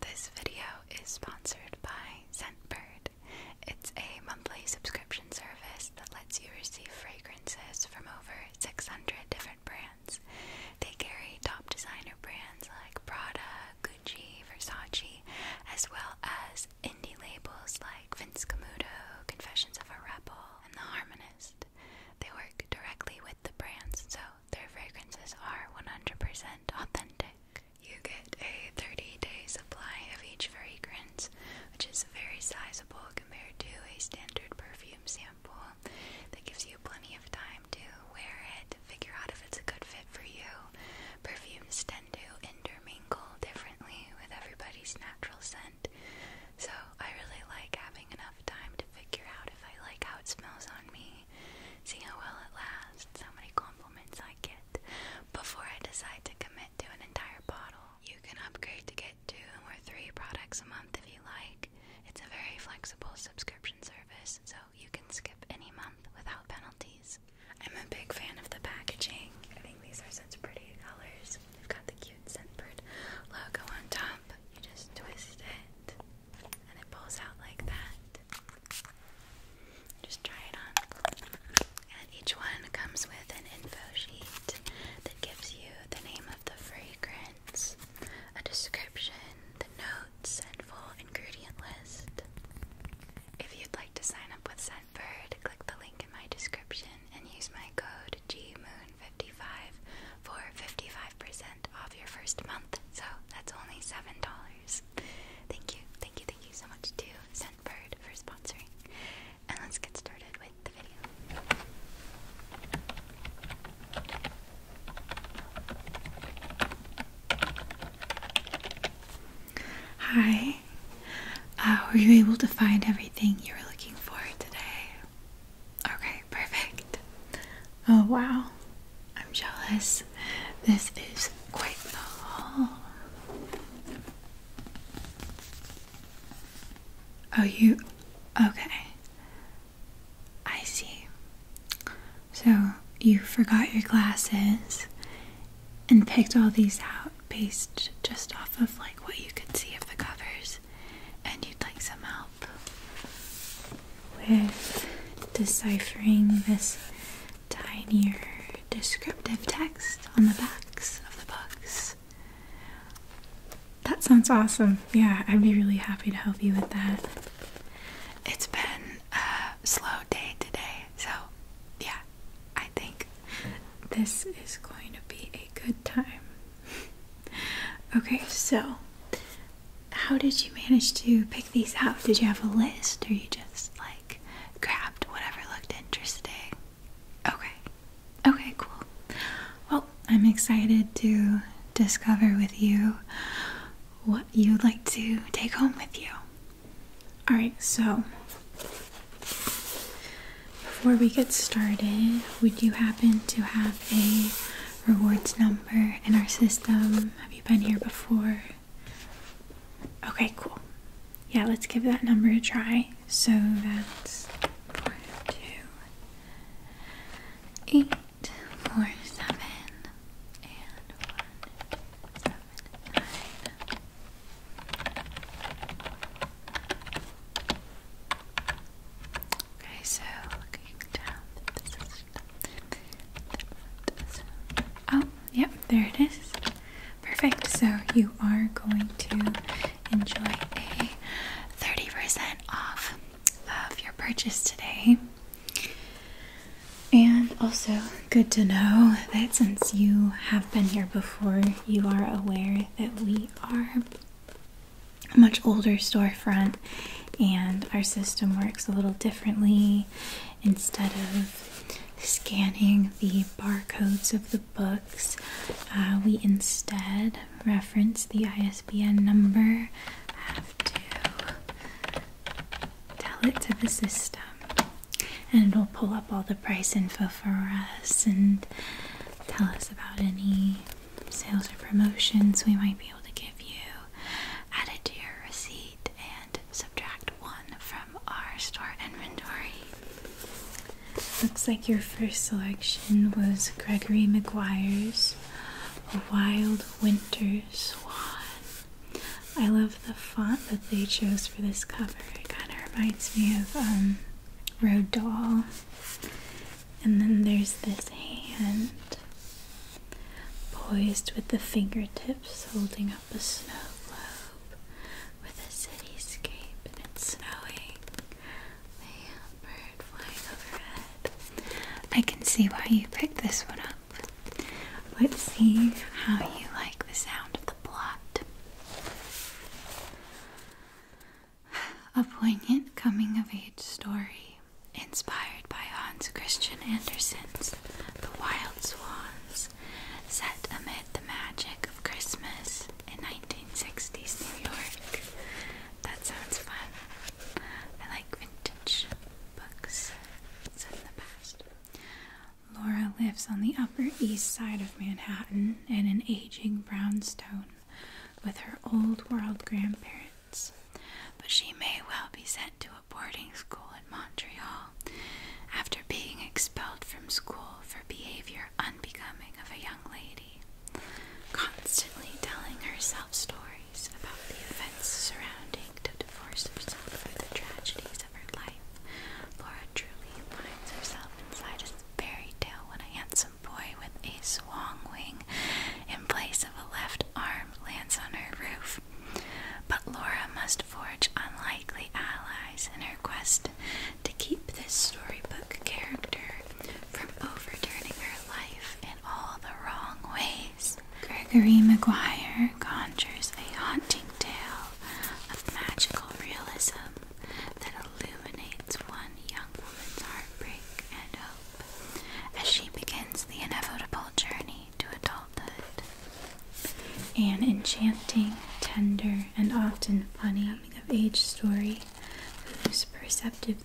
This video is sponsored by Scentbird. It's a monthly subscription service that lets you receive fragrances from over 600 different brands. They carry top designer brands like Prada, Gucci, Versace, as well as indie labels like Vince Camuto, Confessions of a Rebel, and The Harmonist. They work directly with the brands, so their fragrances are 100% authentic. You get a 30 day supply of each fragrance, which is very sizable compared to a standard perfume sample. That gives you plenty of time to wear it, to figure out if it's a good fit for you. Perfumes tend to intermingle differently with everybody's natural scent, so I really like having enough time to figure out if I like how it smells on me see how well it lasts, how many compliments I get before I decide to commit to an entire bottle. You can upgrade to get two or three products a month if you like. It's a very flexible subscription service, so you can skip any month without penalties. I'm a big fan of the packaging. I think these are such pretty colors. They've got the cute Scentbird logo on top. You just twist it and it pulls out like that. Just try it on. And each one comes with an info sheet that gives you the name of the fragrance, a description, the notes, and full ingredient list. If you'd like to sign up with Scentbird, click the link in my description and use my code GMOON55 for 55% off your first month. So that's only $7. Thank you, thank you, thank you so much to Scentbird for sponsoring. And let's get started with the video. Hi. Uh, were you able to find everything you were looking for today? Okay, perfect. Oh wow, I'm jealous. This is quite the haul. Oh, you okay? I see. So you forgot your glasses and picked all these out based just off of like what you could see of the covers, and you'd like some help with deciphering this tinier descriptive text on the backs of the books. That sounds awesome. Yeah, I'd be really happy to help you with that. It's been a slow day today, so yeah, I think this is going to be a good time. okay, so how did you manage to pick these out? Did you have a list or you just like grabbed whatever looked interesting? Okay. Okay, cool. Well, I'm excited to discover with you what you'd like to take home with you. All right, so before we get started, would you happen to have a rewards number in our system? Have you been here before? Okay, cool. Yeah, let's give that number a try. So that's four, two, eight, four, seven, and one, seven, nine. Okay, so looking down, Oh, yep, there it is. Perfect. So you are going to enjoy a 30% off of your purchase today. And also, good to know that since you have been here before, you are aware that we are a much older storefront and our system works a little differently instead of scanning the barcodes of the books, uh, we instead reference the ISBN number, have to tell it to the system, and it'll pull up all the price info for us and tell us about any sales or promotions we might be able to give you add it to your receipt and subtract one from our store inventory. Looks like your first selection was Gregory McGuire's Wild Winter Swan. I love the font that they chose for this cover. It kind of reminds me of um, Rodal. And then there's this hand poised with the fingertips holding up a snow globe with a cityscape and it's snowing. The bird flying overhead. I can see why you picked this one up. Let's see how you like the sound of the plot. A poignant coming of age story inspired by Hans Christian Andersen's The Wild Swans, set amid the magic of Christmas in 1960s New York. That sounds fun. I like vintage books set in the past. Laura lives on the Upper East Side of Manhattan in an aging brownstone with her old world grandparents but she may well be sent to a boarding school in Montreal after being expelled from school for behavior unbecoming of a young lady, constantly telling herself stories about the events surrounding to divorce herself from the tragedies of her life. Laura truly finds herself inside a fairy tale when a handsome boy with a swan wing in place of a left arm lands on her roof. But Laura must forge unlikely allies in her quest to keep this storybook character from overturning her life in all the wrong ways. Gregory Maguire conjures a haunting tale of magical realism that illuminates one young woman's heartbreak and hope as she begins the inevitable journey to adulthood. An enchanting, tender, and often funny coming of age story whose perceptive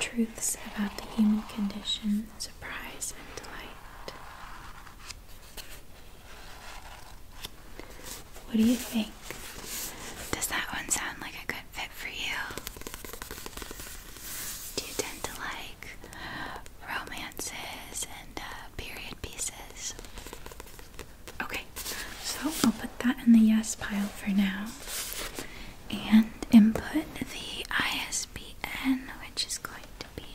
truths about the human condition surprise and delight. What do you think? Does that one sound like a good fit for you? Do you tend to like romances and uh, period pieces. Okay, so I'll put that in the yes pile for now and input the ISBN, which is going to be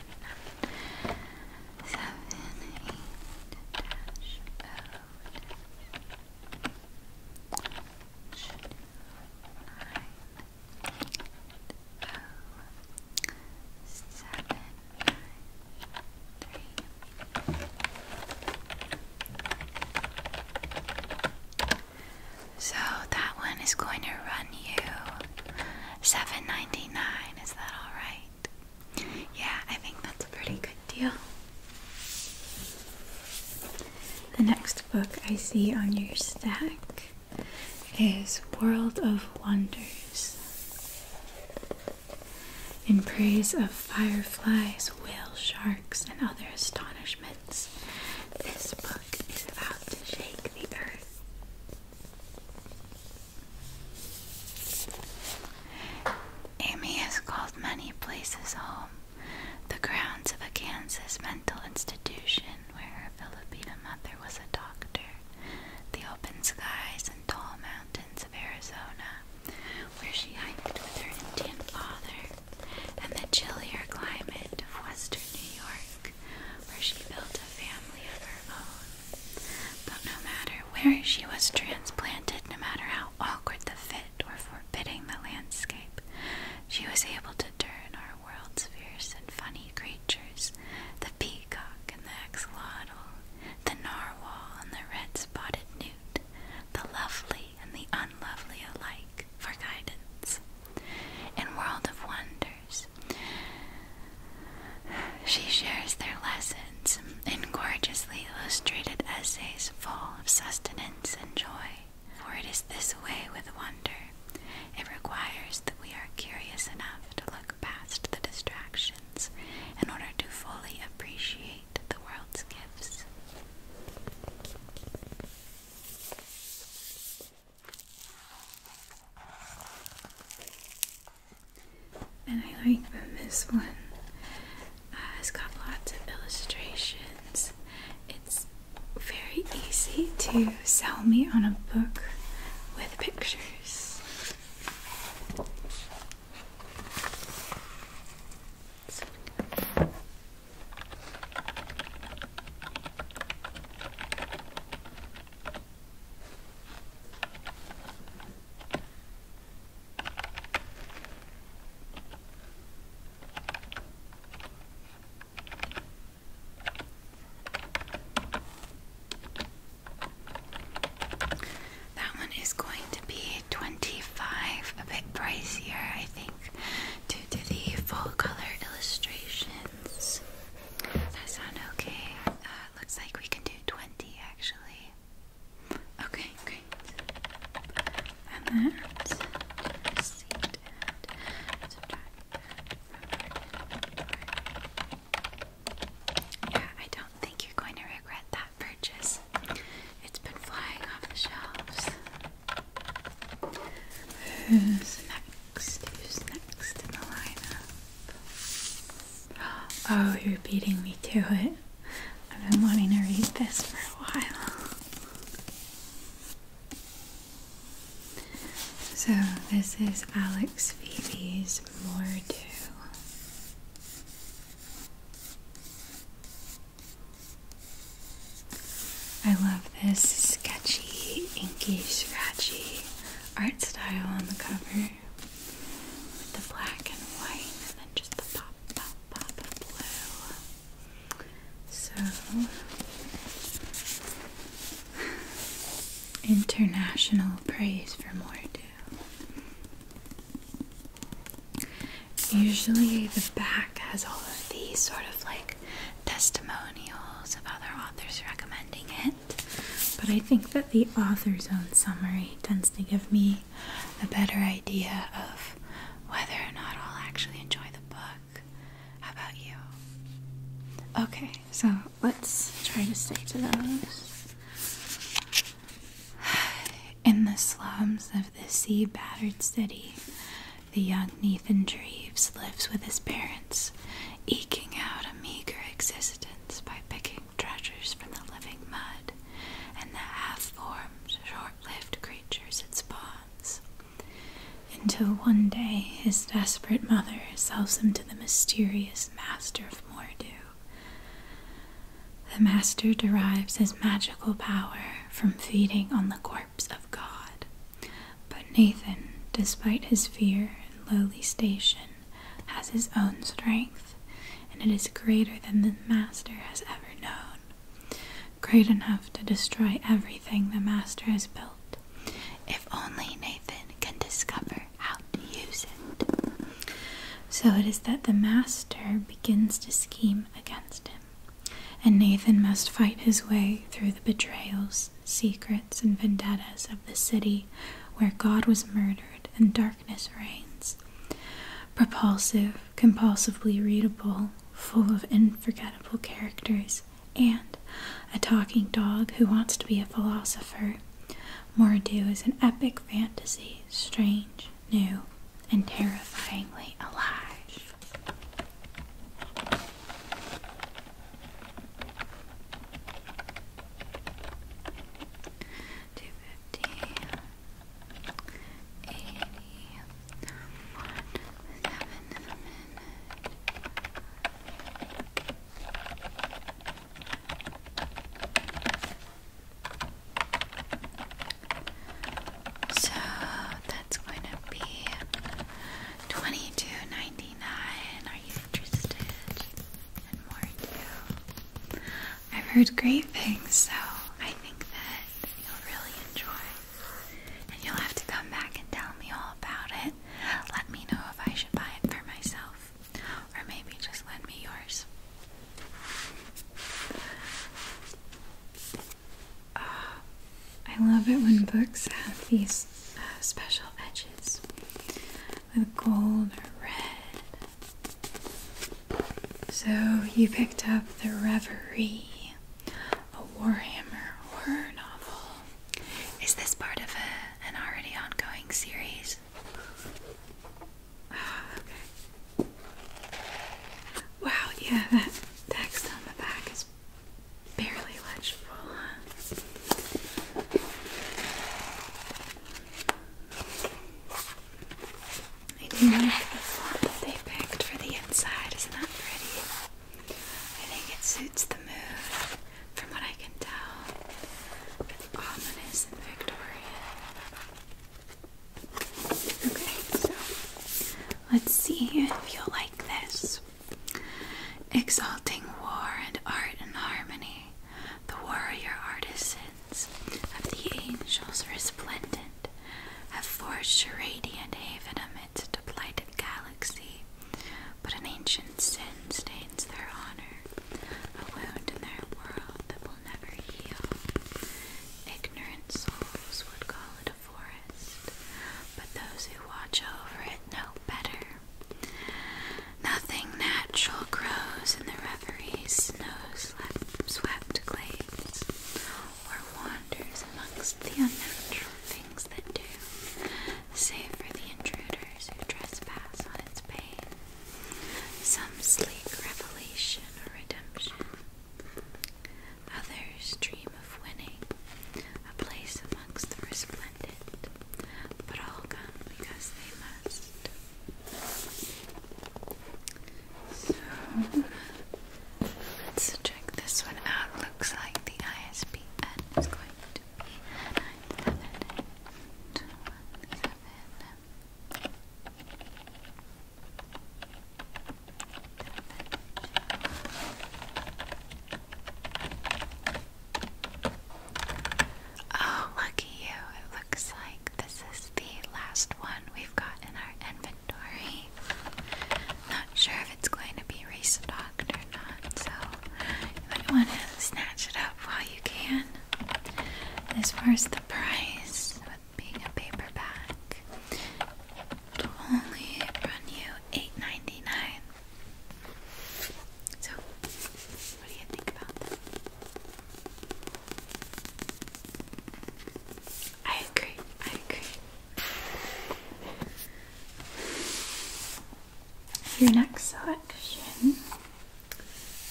7 8 dash 0 so that one is going to run you seven ninety nine. Is that all right? Yeah, I think that's a pretty good deal. The next book I see on your stack is World of Wonders in praise of fireflies, whale sharks, and other astonishments. This book is about to shake the earth. Amy has called many places home, the grounds of a Kansas mental institution where her Filipina mother was a doctor, the open skies and tall mountains of Arizona, where she hiked with her Indian father, and the chillier climate of western New York, where she built a family of her own. But no matter where she was transplanted, no matter how awkward the fit or forbidding the landscape, she was able to turn world's fierce and funny creatures the peacock and the axolotl, the narwhal and the red spotted newt, the lovely and the unlovely alike for guidance. In World of Wonders, she shares their lessons in gorgeously illustrated essays full of sustenance and joy. For it is this way with wonder it requires that we are curious enough to look past the distractions in order to fully appreciate the world's gifts. And I like this one uh, has got lots of illustrations. It's very easy to sell me on a book with pictures. That one is going to be 25, a bit pricier, I think, due to the full color illustrations. that sound okay? Uh, looks like we can do 20 actually. Okay, great. And that, just see yeah, I don't think you're going to regret that purchase. It's been flying off the shelves. Who's next? Who's next in the lineup? Oh, you're beating me to it. I've been wanting to read this for a while. So, this is Alex Phoebe's Mordu. I love this sketchy, inky, scratchy art style on the cover with the black and white and then just the pop, pop, pop of blue. So, international praise for Mordu. Usually, the back has all of these sort of like testimonials of other authors recommending it, but I think that the author's own summary tends to give me a better idea of whether or not I'll actually enjoy the book. How about you? Okay, so let's try to stay to those. In the slums of the sea battered city, the young Nathan Dreves lives with his parents, eking out a meager existence by picking treasures from the living mud and the half formed, short lived creatures it spawns until one day his desperate mother sells him to the mysterious master of Mordu. The master derives his magical power from feeding on the corpse of God. But Nathan, despite his fear and lowly station, has his own strength, and it is greater than the master has ever known. Great enough to destroy everything the master has built if only Nathan can discover how to use it. So it is that the master begins to scheme against him, and Nathan must fight his way through the betrayals, secrets, and vendettas of the city where God was murdered and darkness reigns. Propulsive, compulsively readable, full of unforgettable characters, and a talking dog who wants to be a philosopher. Mordu is an epic fantasy, strange, new, and terrifyingly alive. Two fifty eighty one seven minute so that's going to be twenty two ninety nine. Are you interested I've heard great things, so I think that you'll really enjoy. And you'll have to come back and tell me all about it let me know if I should buy it for myself. Or maybe just lend me yours. Uh, I love it when books have these uh, special edges with gold or red. So you picked up The Reverie, a Warhammer horror novel is this part of a, an already ongoing series? Ah, wow, yeah, that text on the back is barely legible, I do like the font they picked for the inside, isn't pretty? I think it suits the mood, from what I can tell. It's ominous and Victorian. Okay, so let's see if you'll like this. Exalting war and art and harmony, the warrior artisans of the angels resplendent have forged radiant haven amidst the blighted galaxy, but an ancient sin stains their honor, a wound in their world that will never heal. Ignorant souls would call it a forest, but those who watch over it know better. Nothing natural grows in the reveries snow-swept glades or wanders amongst the unnatural things that do, save for the intruders who trespass on its pain. Some sleek revelation or redemption, others dream of winning a place amongst the resplendent, but all come because they must. So let's check this one out. Looks like the ISBN is going Oh, lucky you. It looks like this is the last one we've got in our inventory i not sure if it's going to be restocked or not, so you might want to snatch it up while you can. As far the price, with being a paperback, it'll only run you 8 So, what do you think about that? I agree, I agree. Your next selection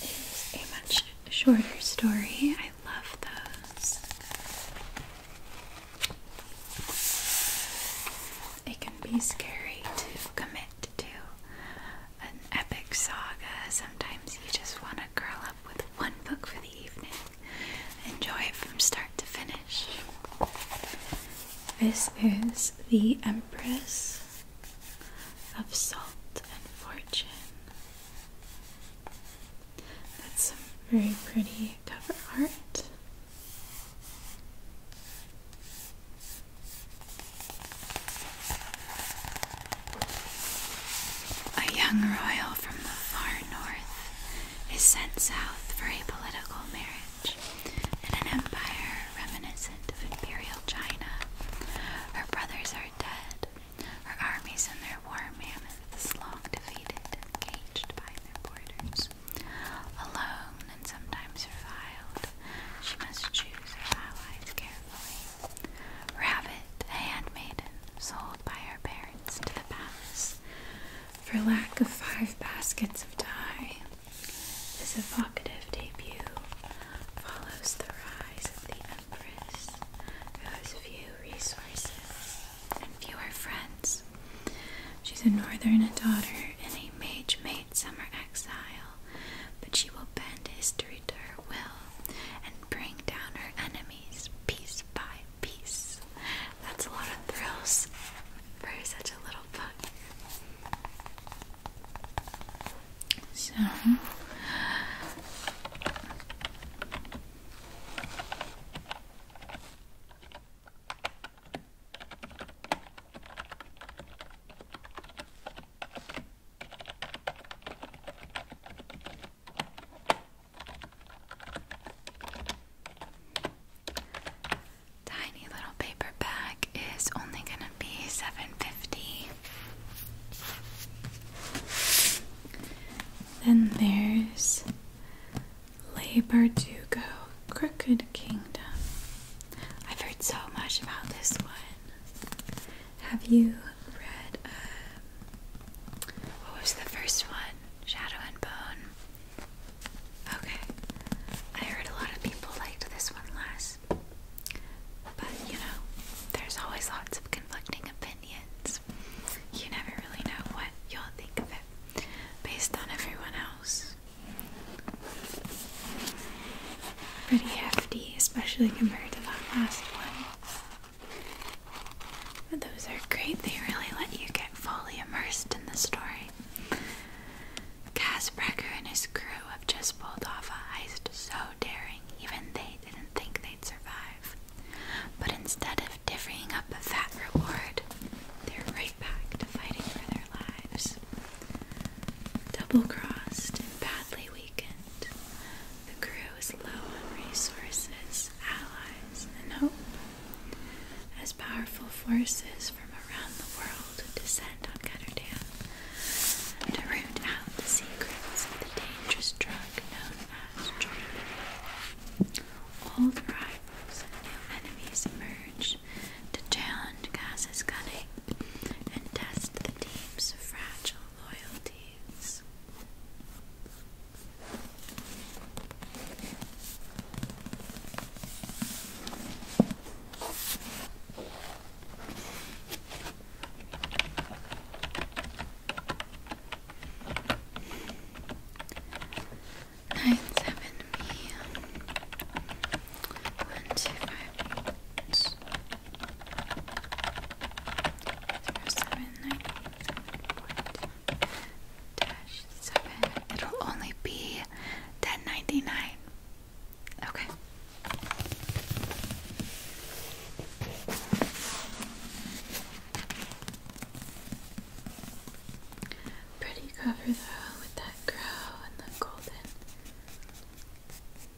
is a much shorter story. I love those. It can be scary to commit to an epic saga. Sometimes you just want to curl up with one book for the evening, enjoy it from start to finish. This is the Empress of Salt and Fortune. That's some very pretty cover art. A young royal from the far north is sent south for a political marriage in an empire reminiscent of imperial China. Her brothers are dead, her armies and their war mammoths long defeated caged by their borders. Alone and sometimes reviled, she must choose her allies carefully. Rabbit, a handmaiden, sold by her parents to the palace, for lack of five baskets of dye. This evocative debut follows the rise of the Empress, who has few resources and fewer friends. She's a northern daughter and a mage made summer exile, but she will bend history to her will and bring down her enemies piece by piece. That's a lot of thrills for such a little book. So tiny little paper bag is only gonna be seven fifty. Then there's Labor to Go Crooked Kingdom. I've heard so much about this one. Have you read? Um, what was the first one? Shadow and Bone. Okay, I heard a lot of people liked this one less. But you know, there's always lots of conflicting opinions. You never really know what you'll think of it based on everyone else. Pretty hefty, especially compared to that last one. But those are great, they really let you get fully immersed in the story. Casbrecker and his crew have just pulled off a heist so daring even they didn't think they'd survive. But instead of divvying up a fat reward, they're right back to fighting for their lives. Double crossed and badly weakened, the crew is low on resources, allies, and hope. As powerful forces from around the world descend on Ketterdam to root out the secrets of the dangerous drug known as Jordan. Old rivals and new enemies emerge to challenge Gaz's cunning and test the team's fragile loyalties. Nine seven B one two five eight zero seven nine seven point it It'll only be ten ninety nine. Okay. Pretty cover though with that crow and the golden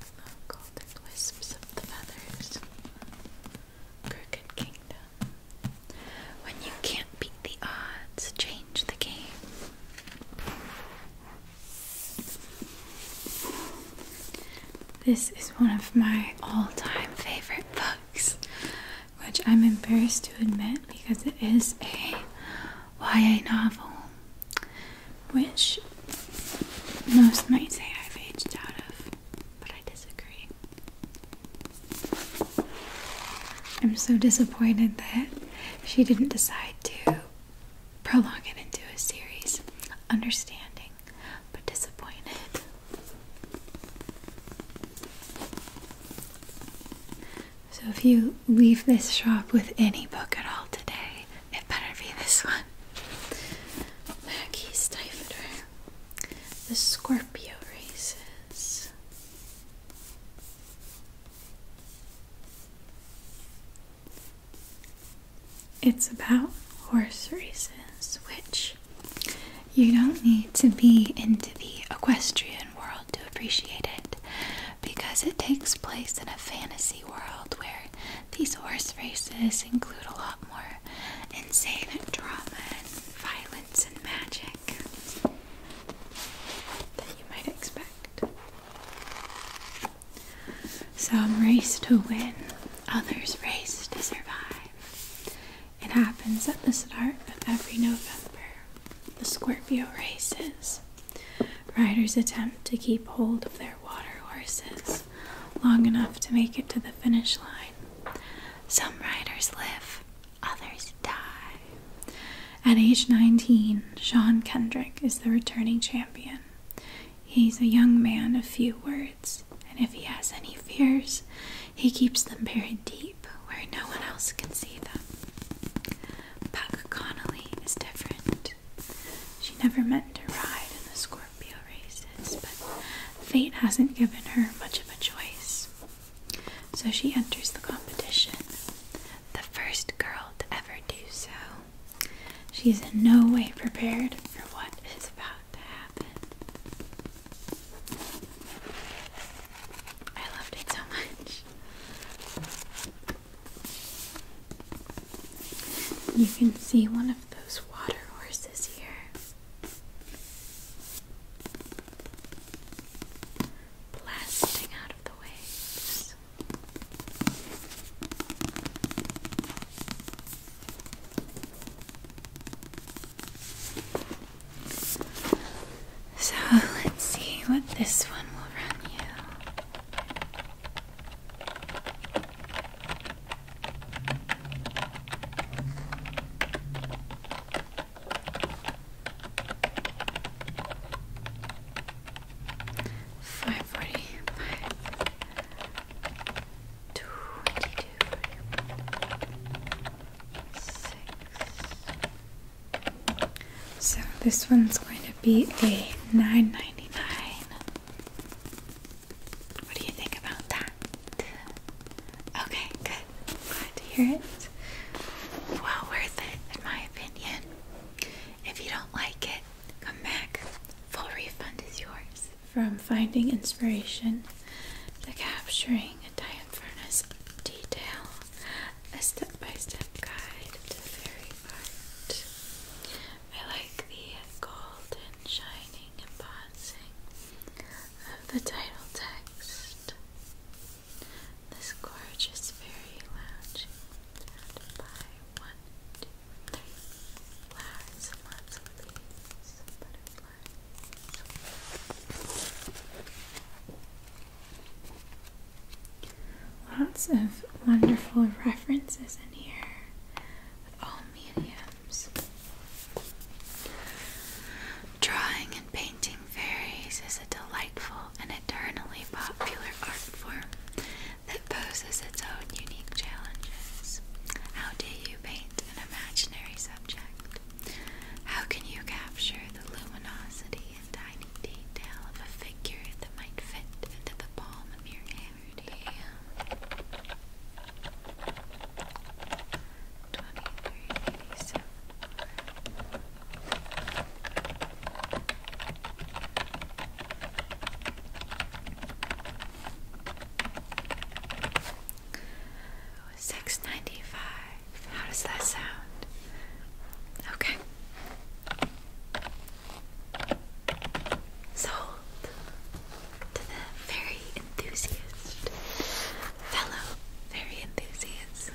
the golden wisps of the feathers. Crooked Kingdom. When you can't beat the odds, change the game. This is one of my all time favorite books, which I'm embarrassed to admit because it is a YA novel, which most might say I've aged out of, but I disagree. I'm so disappointed that she didn't decide to prolong it into a series. Understanding, but disappointed. So, if you leave this shop with any book at all today, it better be this one. Mackie's Stifler. The Scorpio Races. It's about horse races, which you don't need to be into the equestrian world to appreciate it because it takes place in a fantasy world where these horse races include a lot more insane drama and violence and magic that you might expect. Some race to win, others race to survive. It happens at the start of every November. The Scorpio races. Riders attempt to keep hold of their water horses long enough to make it to the finish line. Some riders live, others die. At age 19, Sean Kendrick is the returning champion. He's a young man of few words, and if he has any fears, he keeps them buried deep where no one else can see them. Buck Connolly is different. She never meant to ride in the Scorpio races, but fate hasn't given her much of a choice. So she enters the competition, the first girl to ever do so. She's in no way prepared for what is about to happen. I loved it so much. You can see one of those water horses here blasting out of the waves. So let's see what this one will run you. Five forty five twenty two six. So this one's going to be a nine ninety nine. What do you think about that? Okay, good. Good. Glad to hear it. Well worth it, in my opinion. If you don't like it, come back. Full refund is yours. From finding inspiration to capturing a giant furnace detail, a step by step guide to the very art. I like the golden shining embossing of the title text. This gorgeous fairy lounge by one, two, three flowers and lots of butterflies. Lots of wonderful references in here all mediums. Drawing and painting fairies is a delightful and eternally popular art form that poses its own unique challenges. How do you paint an imaginary subject? How can you capture the luminosity and tiny detail of a figure that might fit into the palm of your hand? 2387 695. How does that sound? Okay. Sold to the very enthusiast, fellow very enthusiast.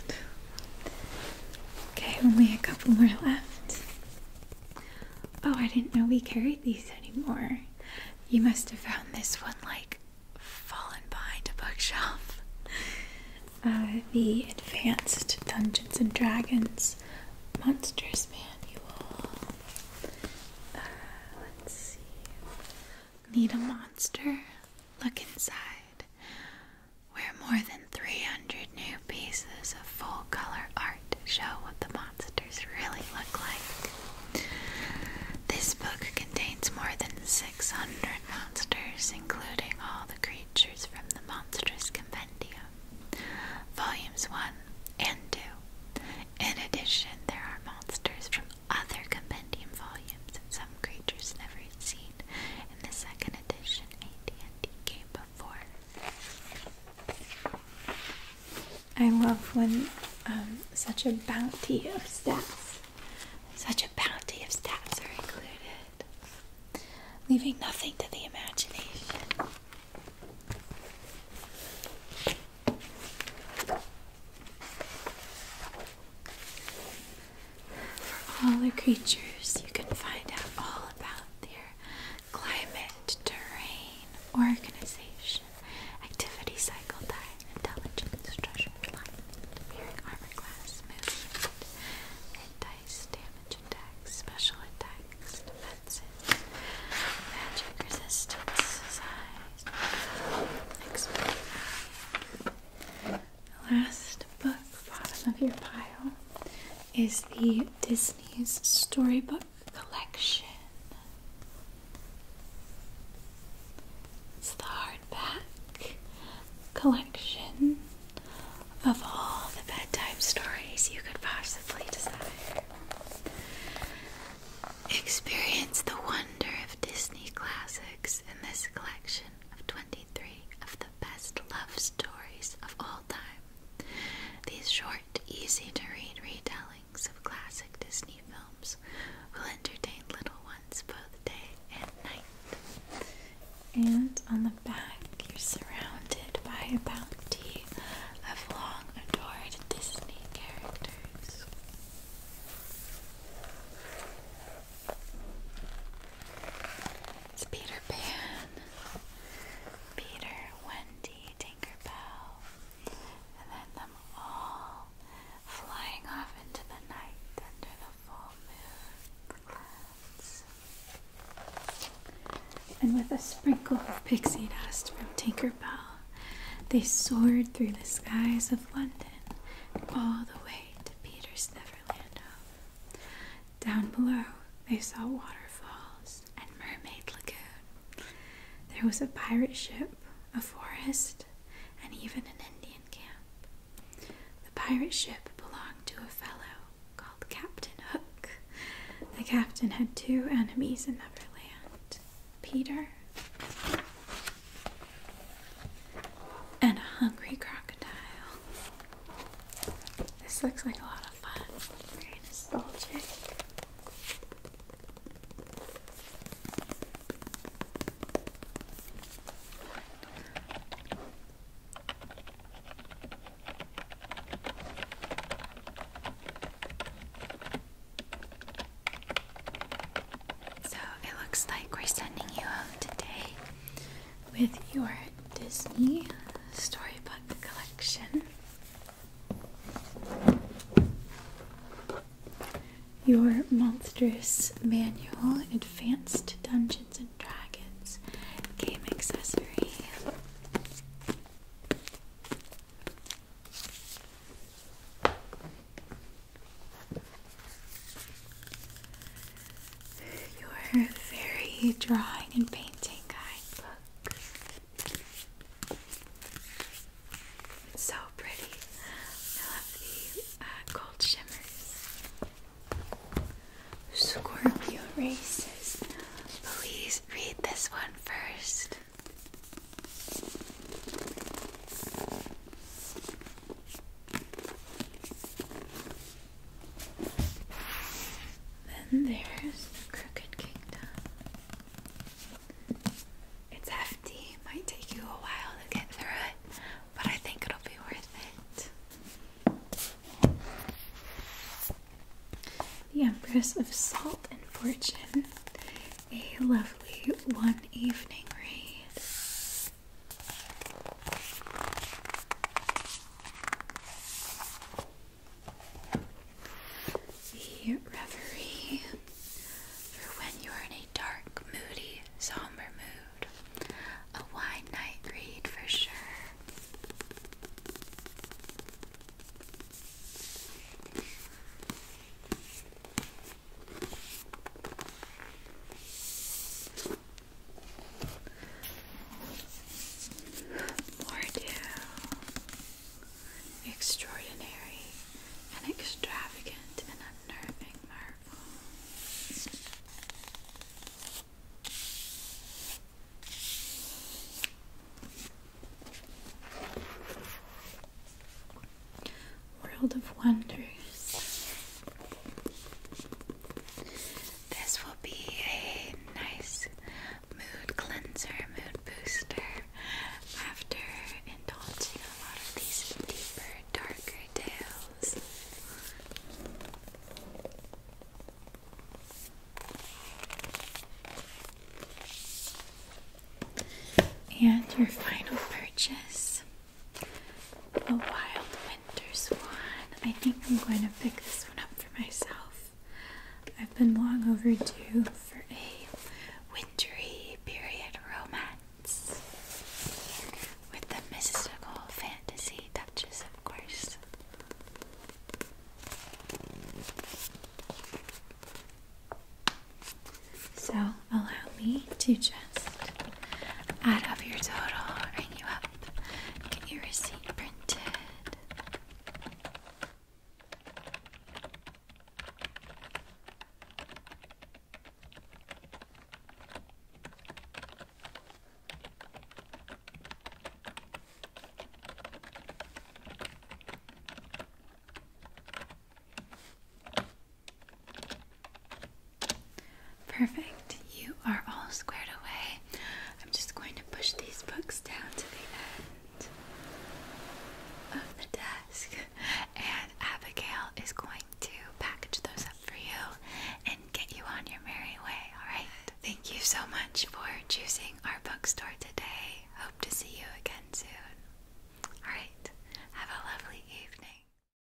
Okay, only a couple more left. Oh, I didn't know we carried these anymore. You must have found this one like fallen behind a bookshelf. Uh, the Advanced Dungeons and Dragons Monsters Manual. Uh, let's see. Need a monster? Look inside where more than 300 new pieces of full color art show what the monsters really look like. This book contains more than 600 monsters, including all the creatures from the Monstrous Compendium, Volumes 1 and 2. In addition, there are monsters from other compendium volumes and some creatures never seen in the second edition, AT&T came before. I love when um, such a bounty of stats, such a bounty of stats are included, leaving nothing to the imagination. For all the creatures, you can find out all about their climate, terrain, organization, activity cycle, diet, intelligence, treasure, life, appearing armor class, movement, and dice, damage attacks, special attacks, defenses, magic resistance, size, expert the last book, bottom of your pile, is the Disney's Storybook Collection. It's the hardback collection of all the bedtime stories you could possibly desire. Experience the wonder of Disney classics in this collection of 23 of the best love stories of all time. These short, easy to read retellings of classic Disney films will entertain little ones both day and night. And on the back, you're surrounded by a bounty of long adored Disney characters. It's Peter Pan, Peter, Wendy, Tinkerbell, and then them all flying off into the night under the full moon And with a sprinkle of pixie dust from Tinkerbell, they soared through the skies of London all the way to Peter's Neverland. Down below, they saw waterfalls and Mermaid Lagoon. There was a pirate ship, a forest, and even an Indian camp. The pirate ship belonged to a fellow called Captain Hook. The captain had two enemies in Neverland Peter and a hungry crocodile. This looks like a lot of fun. Very nostalgic. So it looks like we're sending you home today with your Disney storybook collection. Your monstrous manual, Advanced Dungeons and Dragons game accessory. Your very drawing and painting guidebook. It's so pretty. I love the uh, gold shimmers. Scorpio races. Please read this one first. Then there's the Crooked Kingdom. It's hefty, might take you a while to get through it, but I think it'll be worth it. The Empress of Salt and Fortune. A lovely one evening read reverie for when you are in a dark, moody, somber mood. A wide night read for sure. More do extraordinary and extravagant and unnerving marvel. World of Wonders. This will be a nice mood cleanser, mood booster after indulging a lot of these deeper, darker tales. And your final purchase a Wild Winter Swan. I think I'm going to pick this one up for myself. I've been long overdue for a wintry period romance with the mystical fantasy touches, of course. So allow me to just add up your total, ring you up, get your receipt printed. Perfect. You are all squared away. I'm just going to push these books down to the end of the desk, and Abigail is going to package those up for you and get you on your merry way, alright? Thank you so much for choosing our bookstore today. Hope to see you again soon. Alright, have a lovely evening.